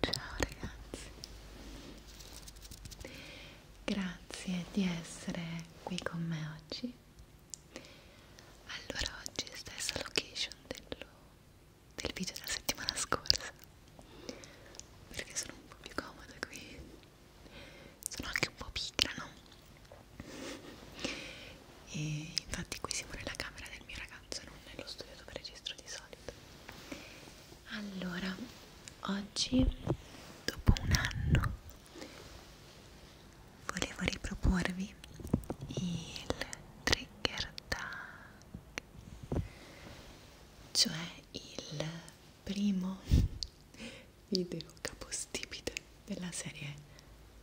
Ciao ragazzi, grazie di essere qui con me oggi. Allora, oggi è stessa location dello, del video della settimana scorsa perché sono un po' più comoda qui sono anche un po' pigra, no? e infatti qui siamo nella camera del mio ragazzo non nello studio dove registro di solito allora oggi dopo un anno volevo riproporvi il trigger tag cioè il primo video capostipite della serie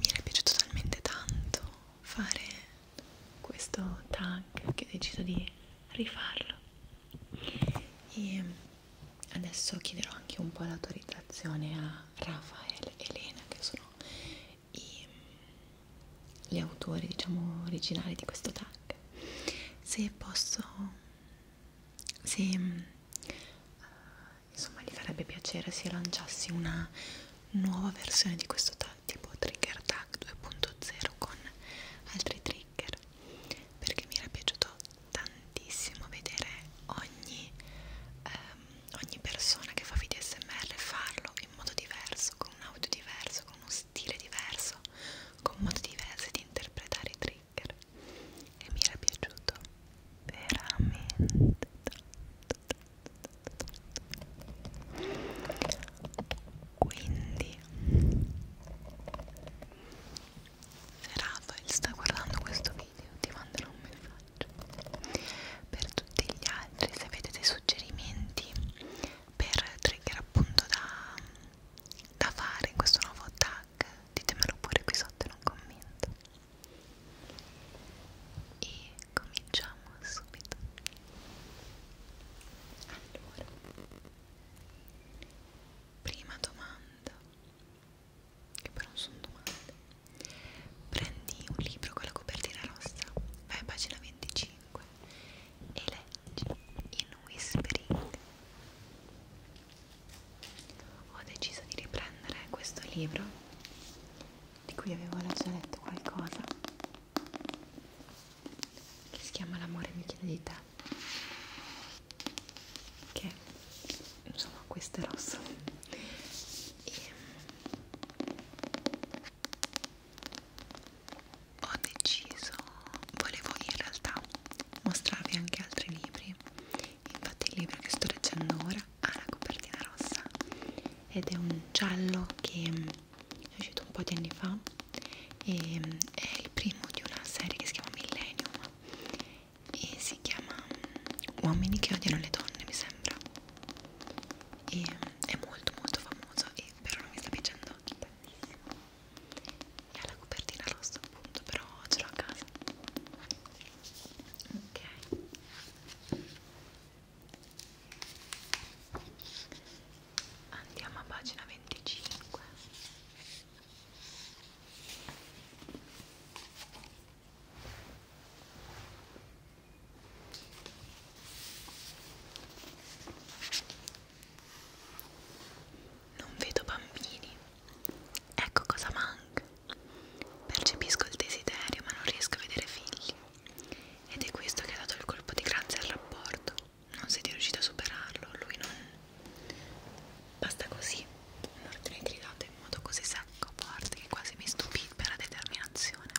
Mi era piaciuto talmente tanto fare questo tag che ho deciso di rifarlo e adesso chiederò anche un po' l'autorizzazione a Rafael e Elena che sono i, gli autori diciamo originali di questo tag se posso se eh, insomma gli farebbe piacere se lanciassi una nuova versione di questo tipo trigger tag 2.0 con altri trigger perché mi era piaciuto tantissimo vedere ogni, ehm, ogni persona che fa video smr farlo in modo diverso con un audio diverso con uno stile diverso con modi diversi di interpretare i trigger trigger e mi era piaciuto veramente tanto quindi se Rafael sta guardando questo video ti manderò un messaggio per tutti gli altri se avete dei suggerimenti per trigger appunto da da fare in questo nuovo tag ditemelo pure qui sotto in un commento e cominciamo subito allora prima domanda che però non sono domande prendi un libro con la copertina rossa vai a pagina 25 e leggi in whispering ho deciso di riprendere questo libro di cui avevo già letto qualcosa che si chiama L'amore mi chiede di te che insomma questo è rosso e mm, ho deciso volevo in realtà mostrarvi anche altri libri infatti il libro che sto leggendo ora ha la copertina rossa ed è un giallo che mm, è uscito un po' di anni fa e mm, è il primo di una serie che si chiama Millennium e si chiama mm, Uomini che odiano le donne mi sembra e è molto molto famoso e però non mi sta piacendo tantissimo è la copertina rossa appunto però ce l'ho a casa ok andiamo a pagina 25 non vedo bambini Ecco cosa manca. Percepisco il desiderio, ma non riesco a vedere figli. Ed è questo che ha dato il colpo di grazia al rapporto. Non siete riusciti a superarlo, lui non. Basta così. Un'ordine gridato in modo così secco, forte, che quasi mi stupì per la determinazione.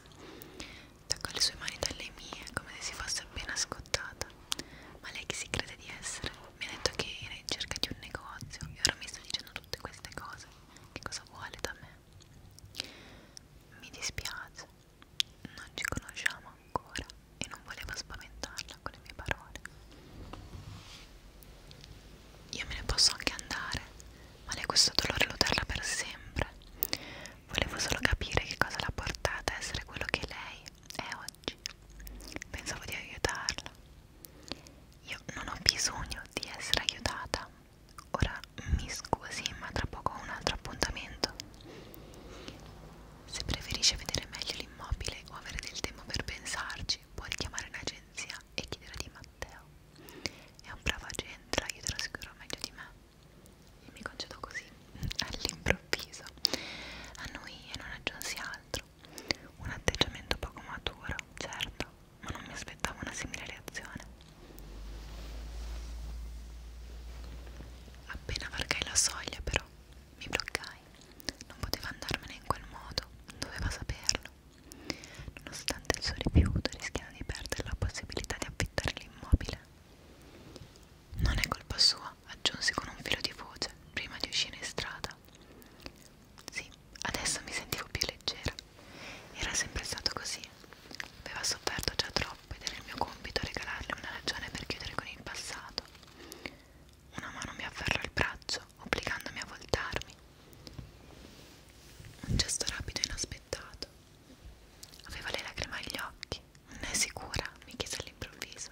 Toccò le sue mani dalle mie, come se si fosse appena scottata. Ma lei chi si crede di essere? mi ha detto che era in cerca di un negozio e ora mi sta dicendo tutte queste cose che cosa vuole da me mi dispiace non ci conosciamo ancora e non volevo spaventarla con le mie parole io me ne posso anche andare ma lei questo dolore lo terrà per sempre volevo solo capire che cosa l'ha portata a essere quello che lei è oggi pensavo di aiutarla io non ho bisogno di essere aiutata ora mi scusi ma tra poco ho un altro appuntamento se preferisce vedere meglio l'immobile o avere del tempo per pensarci può richiamare un'agenzia e chiedere di Matteo è un bravo agente, la aiuterà sicuro meglio di me e mi concedo così all'improvviso a noi e non aggiunsi altro altro. Un atteggiamento poco maturo, certo, ma non mi aspettavo una simile reazione. Appena varcai la soglia, però, mi bloccai. Non poteva andarmene in quel modo, doveva saperlo. Nonostante il suo rifiuto, rischiando di perdere la possibilità di affittare l'immobile. Non è colpa sua, aggiunsi con un filo di voce prima di uscire in strada. Sì, adesso mi sentivo più leggera. Era sempre stato così. Aveva sofferto già troppo ed era il mio compito regalarle una ragione per chiudere con il passato. Una mano mi afferrò il braccio, obbligandomi a voltarmi. Un gesto rapido e inaspettato. Aveva le lacrime agli occhi. Non è sicura? mi chiese all'improvviso.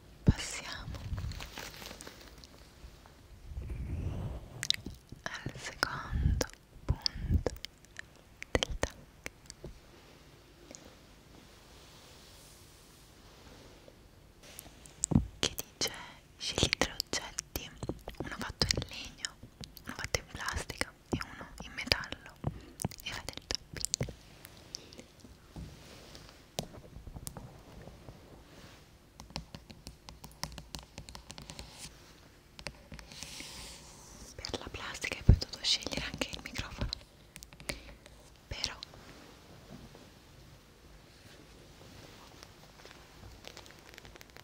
passiamo al secondo punto del tag che dice scegli tre oggetti uno fatto in legno uno fatto in plastica e uno in metallo e fate il tapping per la plastica hai potuto scegliere anche il microfono però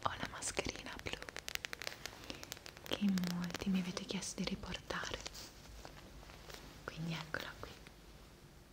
ho la mascherina blu che in molti mi avete chiesto di riportare quindi eccola qui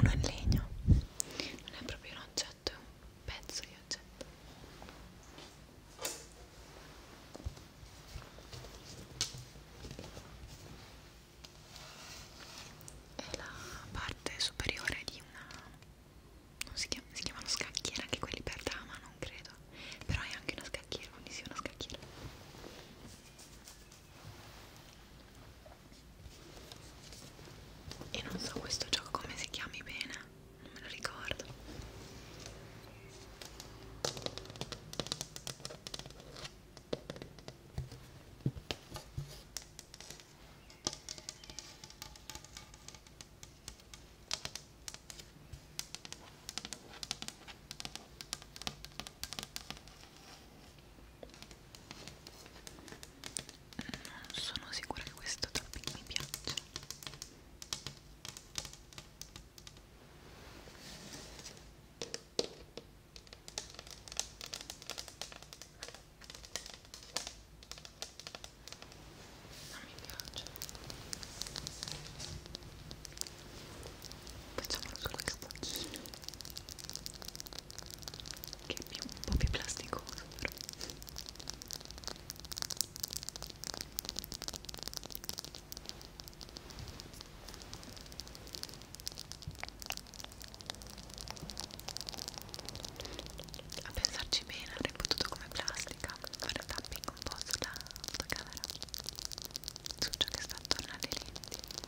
uno in legno non è proprio un oggetto è un pezzo di oggetto è la parte superiore di una non si, chiama, si chiamano scacchiera anche quelli per dama non credo però è anche una scacchiera quindi sì una scacchiera e non so questo gioco come si chiami bene, non me lo ricordo non sono sicura che questo topic mi piaccia non mi piace facciamolo solo il cappuccino che è più, un po' più plasticoso però a pensarci bene avrei potuto come plastica fare tapping un po' sulla fotocamera su ciò che sta attorno alle lenti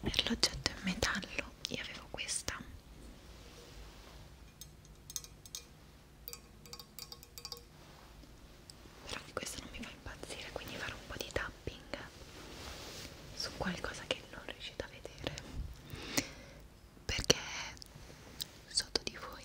per l'oggetto in metallo io avevo questa però di questo non mi fa impazzire quindi farò un po' di tapping su qualcosa che non riuscite a vedere perché sotto di voi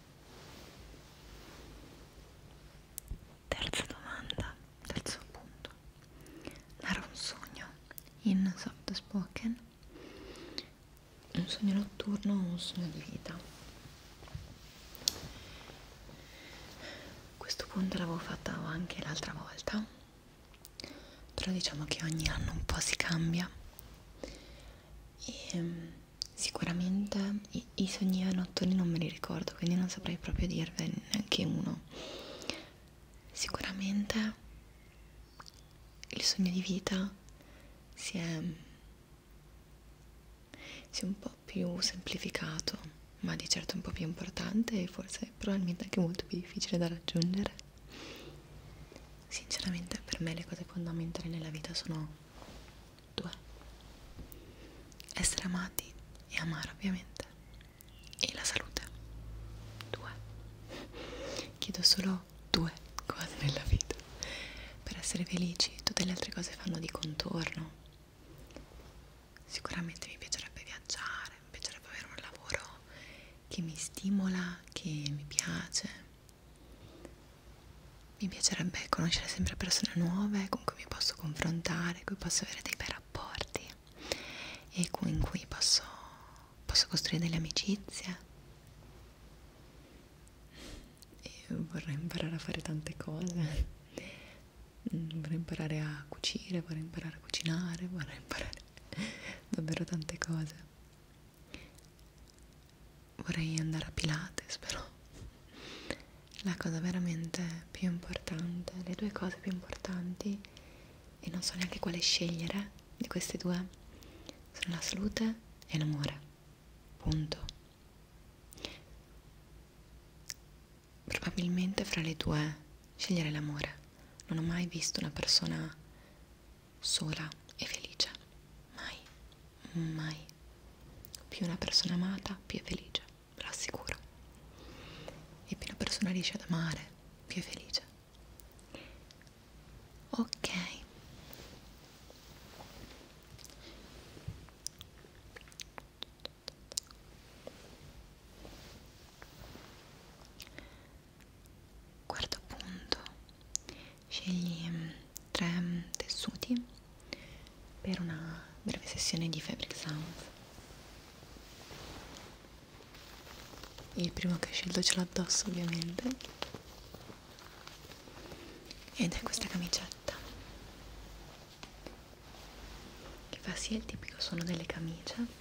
Terza domanda, terzo punto. Narra un sogno in soft spoken, un sogno notturno o un sogno di vita. Questo punto l'avevo fatto anche l'altra volta, però diciamo che ogni anno un po' si cambia. E, ehm, sicuramente i, i sogni notturni non me li ricordo, quindi non saprei proprio dirvene neanche uno. Sicuramente il sogno di vita si è, si è un po' più semplificato, ma di certo un po' più importante e forse probabilmente anche molto più difficile da raggiungere. Sinceramente per me le cose fondamentali nella vita sono 2 essere amati e amare ovviamente e la salute 2 chiedo solo due cose nella vita per essere felici tutte le altre cose fanno di contorno sicuramente mi piacerebbe viaggiare mi piacerebbe avere un lavoro che mi stimola che mi piace mi piacerebbe conoscere sempre persone nuove con cui mi posso confrontare, con cui posso avere dei bei rapporti e in cui posso, posso costruire delle amicizie. Io vorrei imparare a fare tante cose, mm, vorrei imparare a cucire, vorrei imparare a cucinare, vorrei imparare davvero tante cose vorrei andare a Pilates però la cosa veramente più importante le due cose più importanti e non so neanche quale scegliere di queste due sono la salute e l'amore punto probabilmente fra le due scegliere l'amore non ho mai visto una persona sola e felice. Mai, mai. Più una persona amata, più è felice, ve lo assicuro. E più una persona riesce ad amare, più è felice. Ok. Quarto punto, Scegli mm, tre mm, tessuti per una breve sessione di Fabric Sounds. Il primo che ho scelto ce l'ho addosso ovviamente ed è questa camicetta che fa sia il tipico suono delle camicie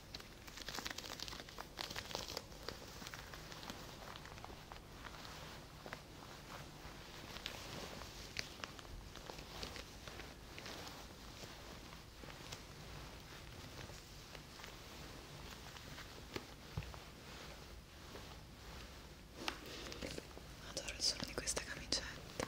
Adoro il suono di questa camicetta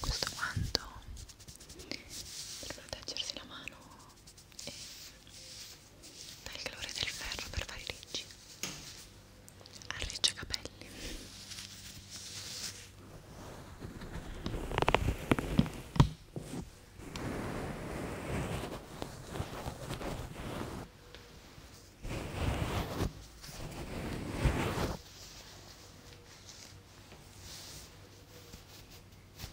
Questo guanto per proteggersi la mano e dal calore del ferro per fare ricci arriccia capelli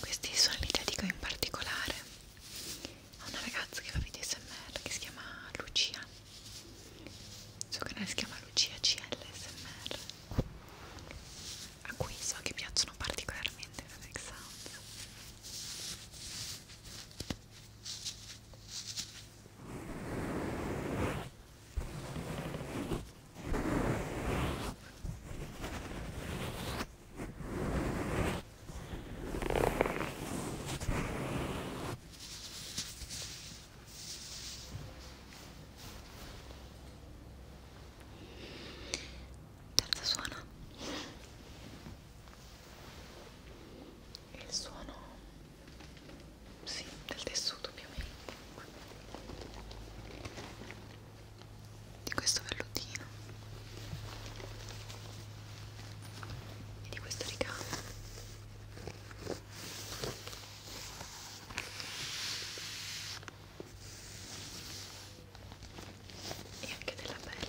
Questi sono li dedico in particolare a una ragazza che fa video smr che si chiama Lucia. Il suo canale si chiama Lucia CLSMR a cui so che piacciono particolarmente le Next Sound terzo suono il suono sì, del tessuto più o meno di questo vellutino e di questo ricamo e anche della pelle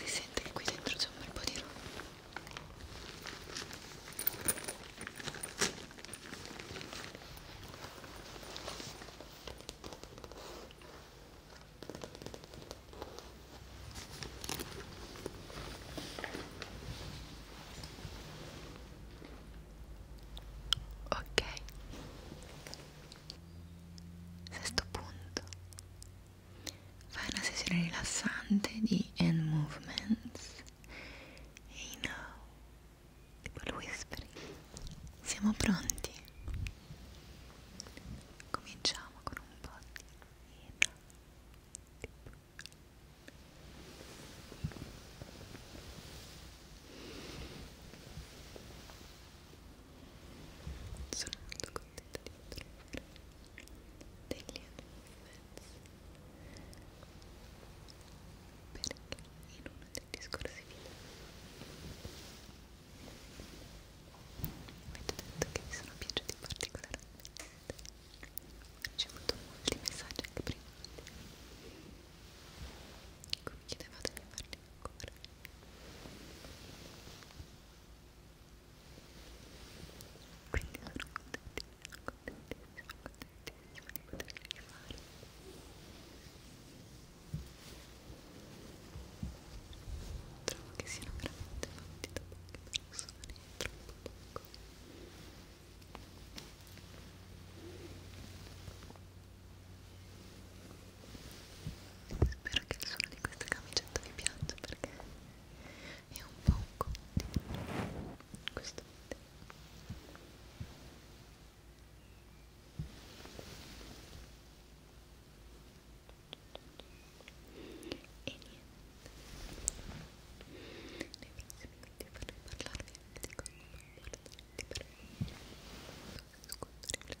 Si sente che qui dentro c'è un bel po' di roba. Ok, Sesto punto. Fai una sessione rilassante di hand movements. Hey now. Tipo il whispering. Siamo pronti. Cominciamo con un po' di hey now. Tipo sono molto contenta di poter fare degli advance perché in uno degli scorsi video mi avete detto che vi sono piaciuti particolarmente ho ricevuto molti messaggi anche prima come chiedevate di farli ancora quindi sono contentissima, contentissima, contentissima di poterli rifare trovo che siano veramente fatti da poche persone troppo poco Ora Spero che il suono di questa camicetta vi piaccia perché è un po' un continuo questo video. E niente, nei prossimi video vorrei parlarvi anche di come comportarti per nascondere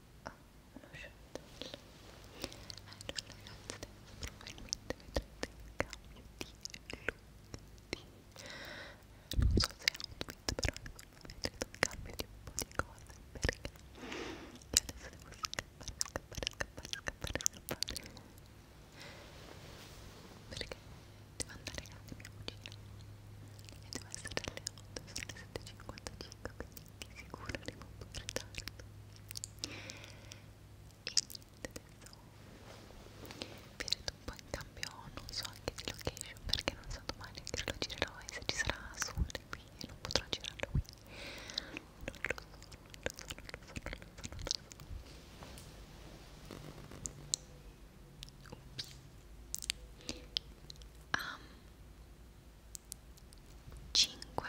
uno shuttle allora ragazzi probabilmente vedrete il cambio di look di non so se è outfit però vedrete il cambio di un po' di cose perché io adesso devo scappare scappare scappare scappare scappare perché devo andare a casa mia cugina e devo essere alle 8 sono le 7.55 quindi di sicuro arrivo un po' in ritardo e niente adesso vi redo un po' in cambio non so anche di location perché non so domani che lo girerò e se ci sarà sole qui e non potrò girarlo qui non lo so, non lo so, non lo so, non lo so, non lo so Oops. Um, 5 um,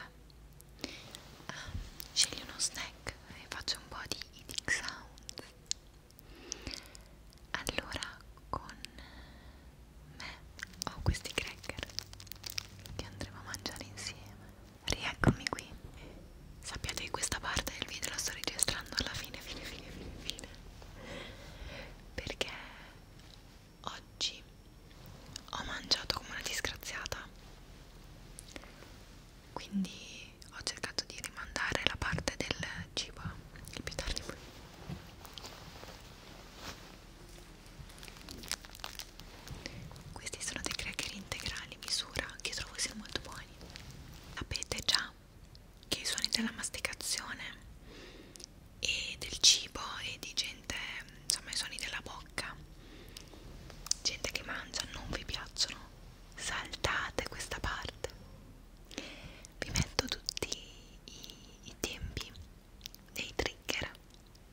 ehm, scegli uno snack e faccio un po' di eating sound allora con me ho questi cracker che andremo a mangiare insieme rieccomi qui sappiate che questa parte del video la sto registrando alla fine fine fine fine fine perché Oggi ho mangiato come una disgraziata, quindi ho cercato di rimandare la parte del cibo il più tardi Questi sono dei cracker integrali misura che trovo siano molto buoni. Sapete già che i suoni della masticazione e del cibo e di gente, insomma i suoni della bocca, gente che mangia, non vi piacciono, saltate questa parte. Vi metto tutti i, i tempi dei trigger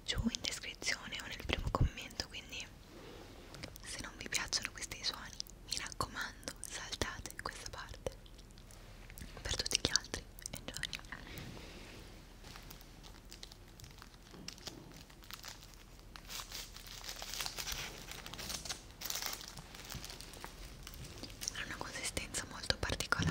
giù in descrizione o nel primo commento, quindi se non vi piacciono questi suoni, mi raccomando, saltate questa parte. Per tutti gli altri, enjoy ha una consistenza molto particolare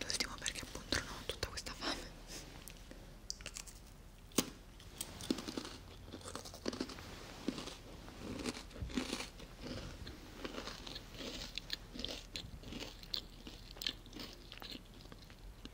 l'ultimo perché appunto non ho tutta questa fame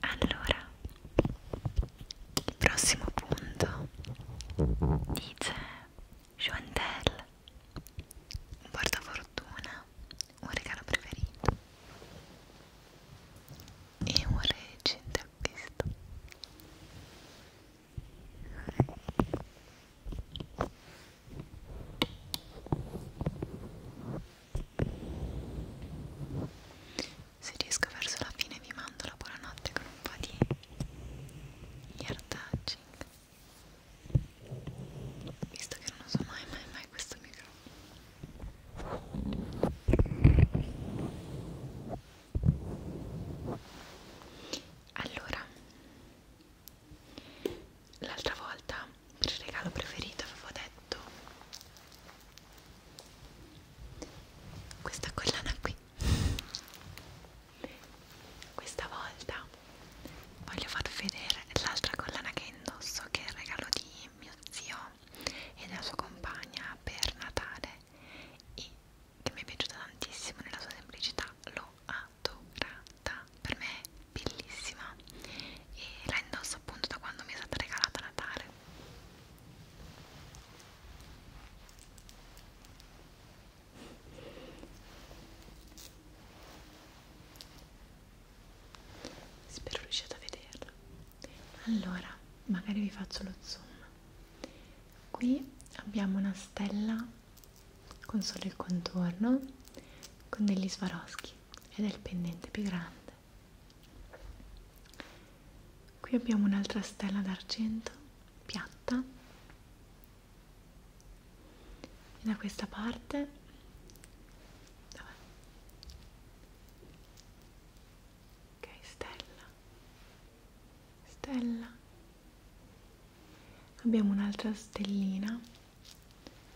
Allora, il prossimo punto dice Joantel, un portafortuna, un regalo preferito e un recente acquisto. Se riesco verso la fine vi mando la buonanotte con un po' di ear touching visto che non uso mai mai mai questo microfono allora l'altra volta per il regalo preferito avevo detto questa collana qui questa volta voglio farvi vedere l'altra collana che indosso che è il regalo di mio zio e della sua compagna per Natale e che mi è piaciuta tantissimo nella sua semplicità lo ha adorata per me è bellissima e la indosso appunto da quando mi è stata regalata a Natale spero riusciate a vederla allora magari vi faccio lo zoom qui abbiamo una stella con solo il contorno con degli swarovski ed è il pendente più grande. Qui abbiamo un'altra stella d'argento piatta e da questa parte vabbè. ok stella stella abbiamo un'altra stellina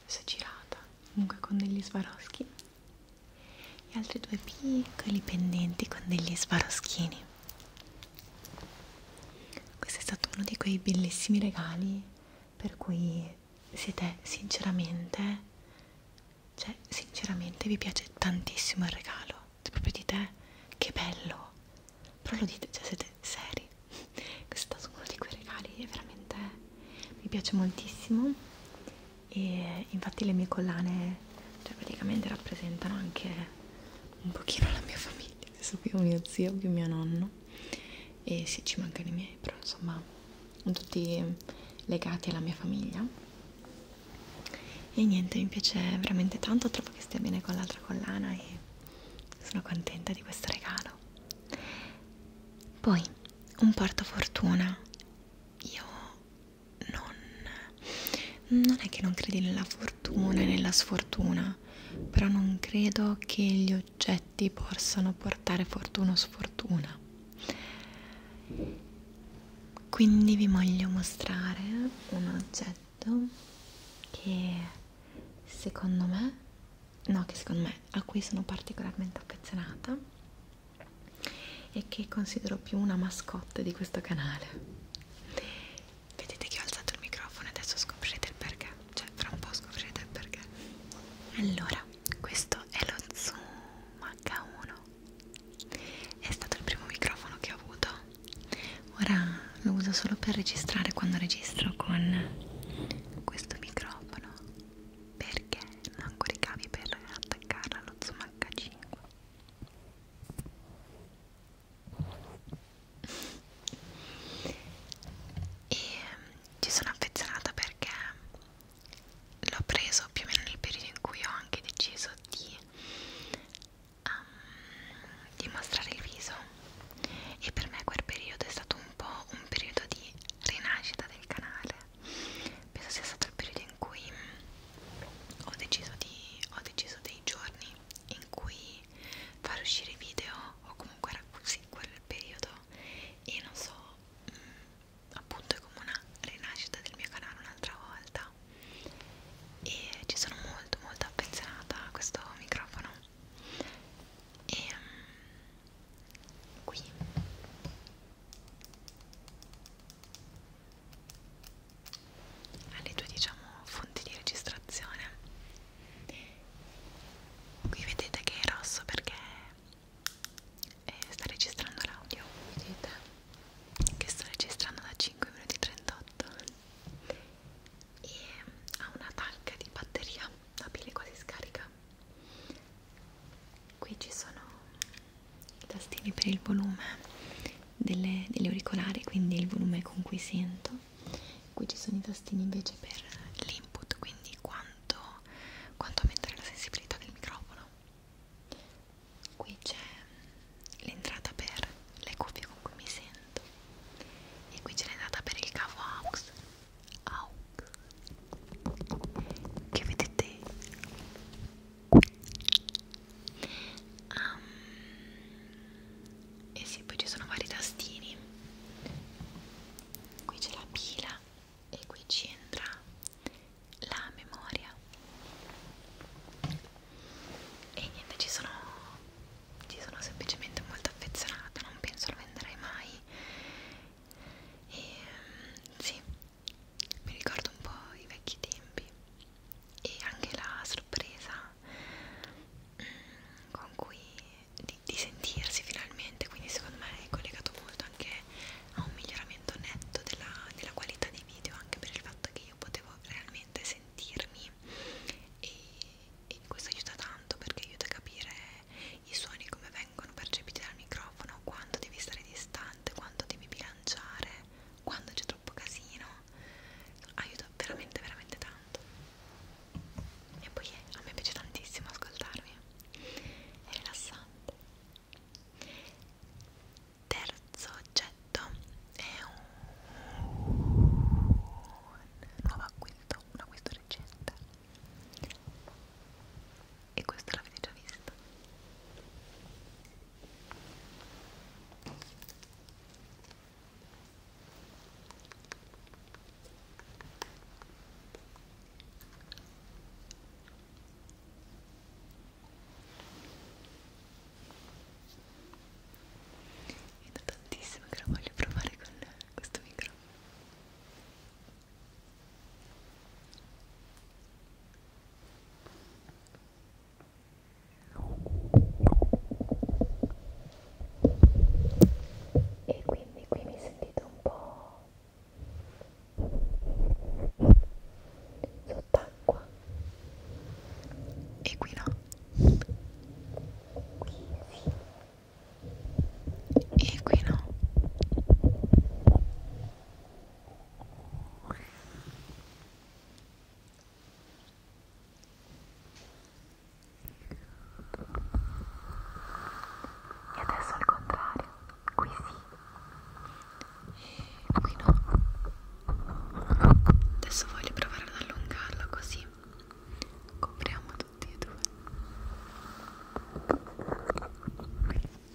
si è girata comunque con degli sbaroschi e altri due piccoli pendenti con degli sbaroschini questo è stato uno di quei bellissimi regali per cui siete sinceramente cioè sinceramente vi piace tantissimo il regalo cioè, proprio dite che bello però lo dite, cioè siete seri questo è stato uno di quei regali veramente mi piace moltissimo e infatti le mie collane cioè praticamente rappresentano anche un pochino la mia famiglia adesso più mio zio più mio nonno e sì ci mancano i miei però insomma sono tutti legati alla mia famiglia e niente mi piace veramente tanto trovo che stia bene con l'altra collana e sono contenta di questo regalo poi un portafortuna. Io non. non è che non credi nella fortuna e nella sfortuna, però non credo che gli oggetti possano portare fortuna o sfortuna. Quindi vi voglio mostrare un oggetto che secondo me no, che secondo me a cui sono particolarmente affezionata e che considero più una mascotte di questo canale. Vedete che ho alzato il microfono, adesso scoprirete il perché, cioè fra un po' scoprirete il perché. Allora, questo è lo Zoom H1, è stato il primo microfono che ho avuto, ora lo uso solo per registrare quando registro con questo microfono perché non coricavi per attaccarla allo zoom H5 e mm, ci sono affezionata perché l'ho preso più o meno nel periodo in cui ho anche deciso di um, di mostrare il viso e per me quel periodo è stato un po' un periodo di rinascita del canale penso sia stato il periodo in cui ho deciso, di, ho deciso dei giorni in cui far uscire video o comunque era così quel periodo e non so mh, mm, appunto è come una rinascita del mio canale un'altra volta e ci sono molto molto affezionata a questo microfono e um, qui alle due diciamo fonti di registrazione qui vedete che è rosso perché eh, sta registrando l'audio vedete che sto registrando da 5 minuti 38 e ha una tanca di batteria la pile quasi scarica qui ci sono i tastini per il volume delle, degli auricolari quindi il volume con cui sento qui ci sono i tastini invece per l'input quindi quanto, quanto aumentare la sensibilità del microfono qui c'è l'entrata per le cuffie con cui mi sento e qui c'è l'entrata per il cavo AUX AUX che vedete qui um, e eh sì poi ci sono vari tastini qui c'è la pila e qui ci entra la memoria e niente ci sono ci sono semplicemente molto affezionata non penso lo venderei mai e mm, sì, mi ricordo un po' i vecchi tempi e anche la sorpresa mm, con cui di, di sentirsi finalmente, quindi secondo me è collegato molto anche a un miglioramento netto della, della qualità dei video, anche per il fatto che io potevo realmente sentirmi e, e questo aiuta tanto perché aiuta a capire i suoni come vengono percepiti dal microfono, quando devi stare distante, quando devi bilanciare, quando c'è troppo casino, aiuta veramente veramente tanto. E poi eh, a me piace tantissimo ascoltarmi, è rilassante. Terzo oggetto è un nuovo acquisto, un acquisto recente e questa l'avete già vista è da tantissimo che lo voglio provare con questo microfono e quindi qui mi sentite un po' sott'acqua e qui no qui sì e qui no e adesso al contrario qui sì e qui no adesso voglio provare ad allungarlo così copriamo tutti e due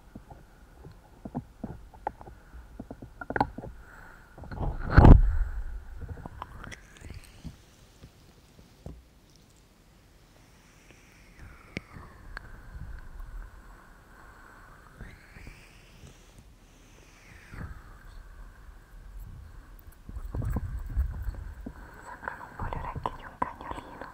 Sembrano un po' le orecchie di un cagnolino.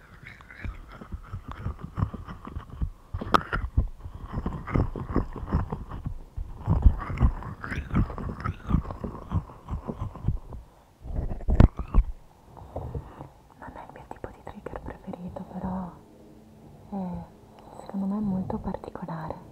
Non è il mio tipo di trigger preferito, però è, secondo me è molto particolare.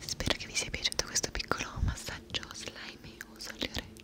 Spero che vi sia piaciuto questo piccolo massaggio slime uso alle orecchie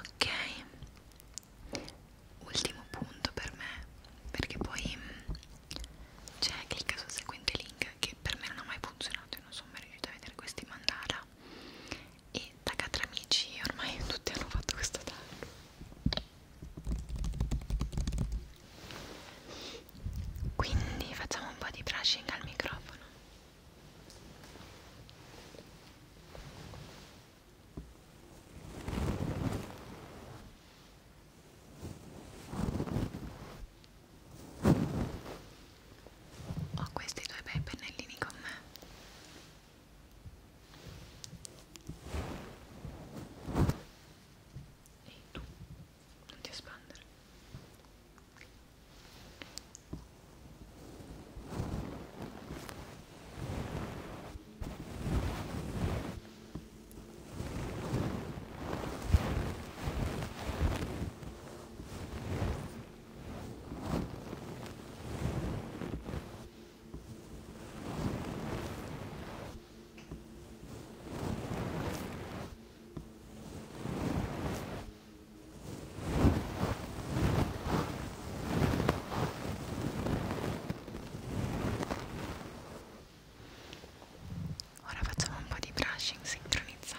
Ok, ultimo punto per me, perché poi mm, c'è clicca sul seguente link che per me non ha mai funzionato, io non sono mai riuscita a vedere questi mandala e taga tra amici ormai tutti hanno fatto questo danno quindi facciamo un po' di brushing al microfono ho questi due bei pennellini con me e tu non ti espandere Ora facciamo un po' di brushing sincronizzato.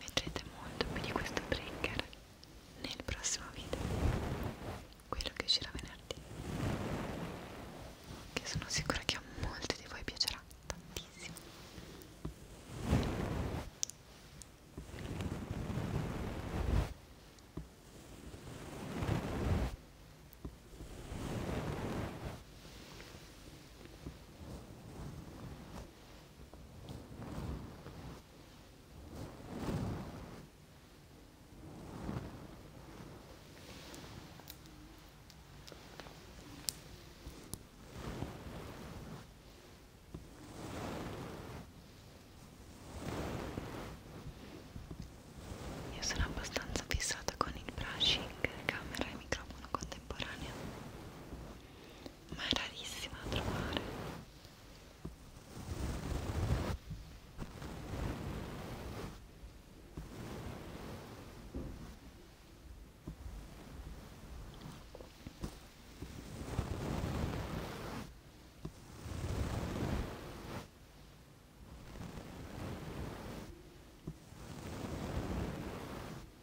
Vedrete molto più di questo trigger nel prossimo video, quello che uscirà venerdì, che sono sicura che a molti di voi piacerà tantissimo. Io sono abbastanza fissata con il brushing, camera e microfono contemporaneo ma è rarissima da trovare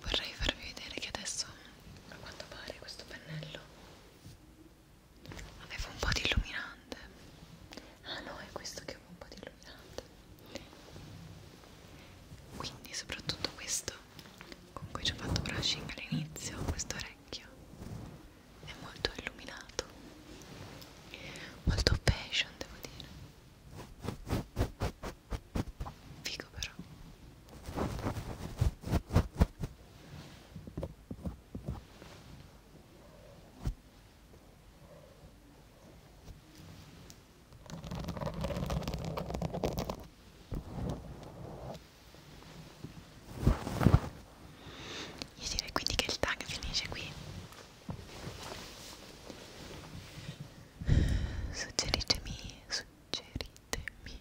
Vorrei farvi vedere che adesso a quanto pare questo pennello aveva un po' di illuminante. Ah no, è questo che aveva un po' di illuminante. Quindi soprattutto questo con cui ci ho fatto brushing all'inizio, questo orecchio è molto illuminato molto fashion devo dire figo però io direi quindi che il tag finisce qui Suggeritemi, suggeritemi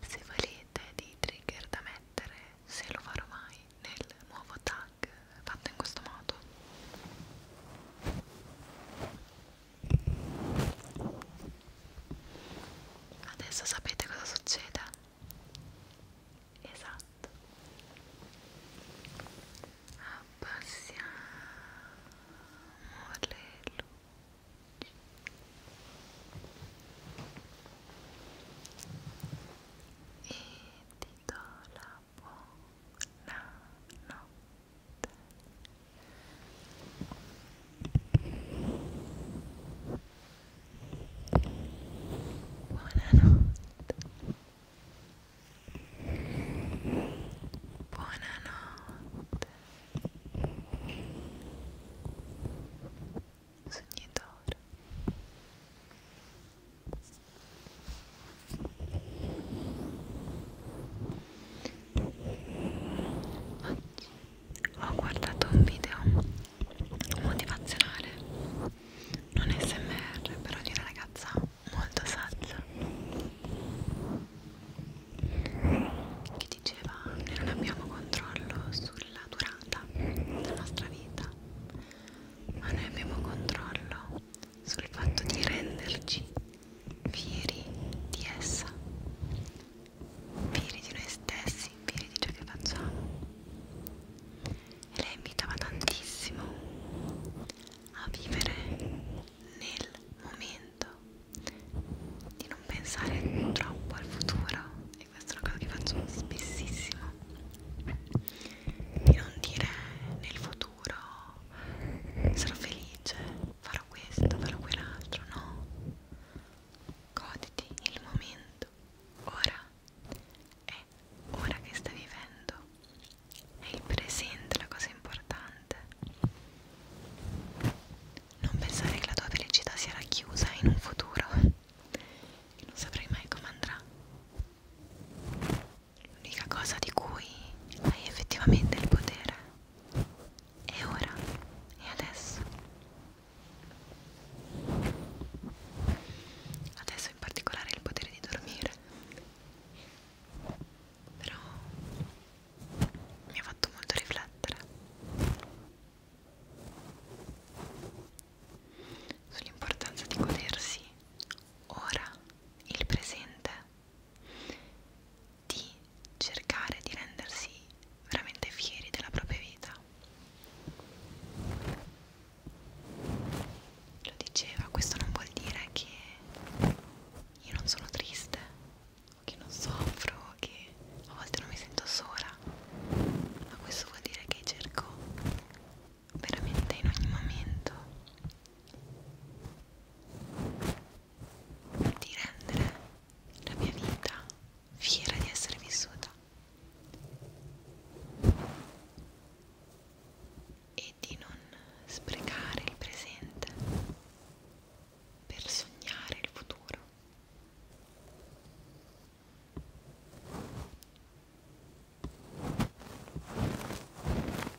se volete dei trigger da mettere, se lo farò mai nel nuovo tag fatto in questo modo. Adesso sapete cosa succede? esatto abbassiamo le luci e ti do la buona notte Buonanotte Buonanotte. Sognatore. Oggi ho guardato un video motivazionale non smr però di una ragazza molto saggia che diceva noi non abbiamo controllo sulla durata della nostra vita ma noi abbiamo controllo sul fatto di renderci fieri di essa fieri di noi stessi fieri di ciò che facciamo e lei invitava tantissimo a vivere nel momento di non pensare troppo al futuro e questa è una cosa che faccio spessissimo di non dire nel futuro sarò felice farò questo farò quell'altro no goditi il momento ora è ora che stai vivendo, è il presente la cosa importante. Non pensare che la tua felicità sia racchiusa in un futuro, che non saprai mai come andrà. L'unica cosa di cui hai effettivamente il potere è ora, è adesso. Adesso penso in particolare il potere di dormire però mi ha fatto molto riflettere sull'importanza di godersi ora il presente di cercare di rendersi veramente fieri della propria vita lo diceva, questo non vuol dire che io non sono triste o che non soffro o che a volte non mi sento sola, ma questo vuol dire che cerco veramente in ogni momento di rendere la mia vita fiera di essere vissuta e di non sprecare il presente per sognare il futuro.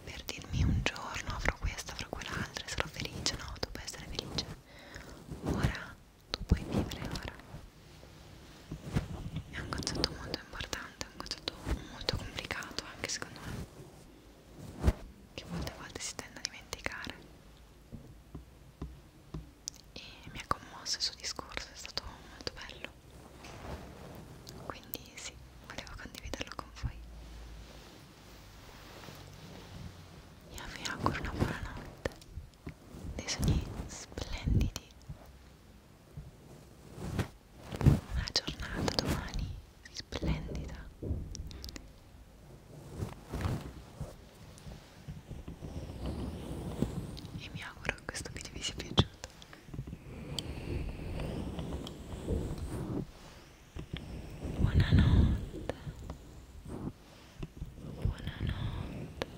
Per dirmi un giorno avrò questo, avrò quell'altro, sarò felice, no, tu puoi essere felice. Ora tu puoi vivere ora è un concetto molto importante, è un concetto molto complicato anche secondo me, che molte volte si tende a dimenticare. E mi ha commosso il suo discorso, è stato molto bello. Quindi sì, volevo condividerlo con voi. Io vi auguro una buona notte, dei sogni splendidi una giornata domani splendida e mi auguro che questo video vi sia piaciuto buonanotte buonanotte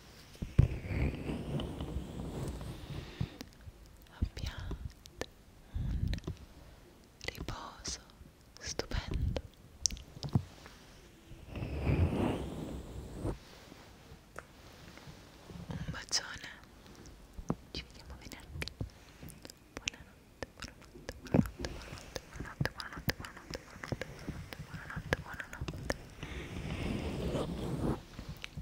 abbiate un riposo stupendo un bacione ci vediamo venerdì buonanotte buonanotte buonanotte buonanotte buonanotte buonanotte buonanotte buonanotte buonanotte buonanotte buonanotte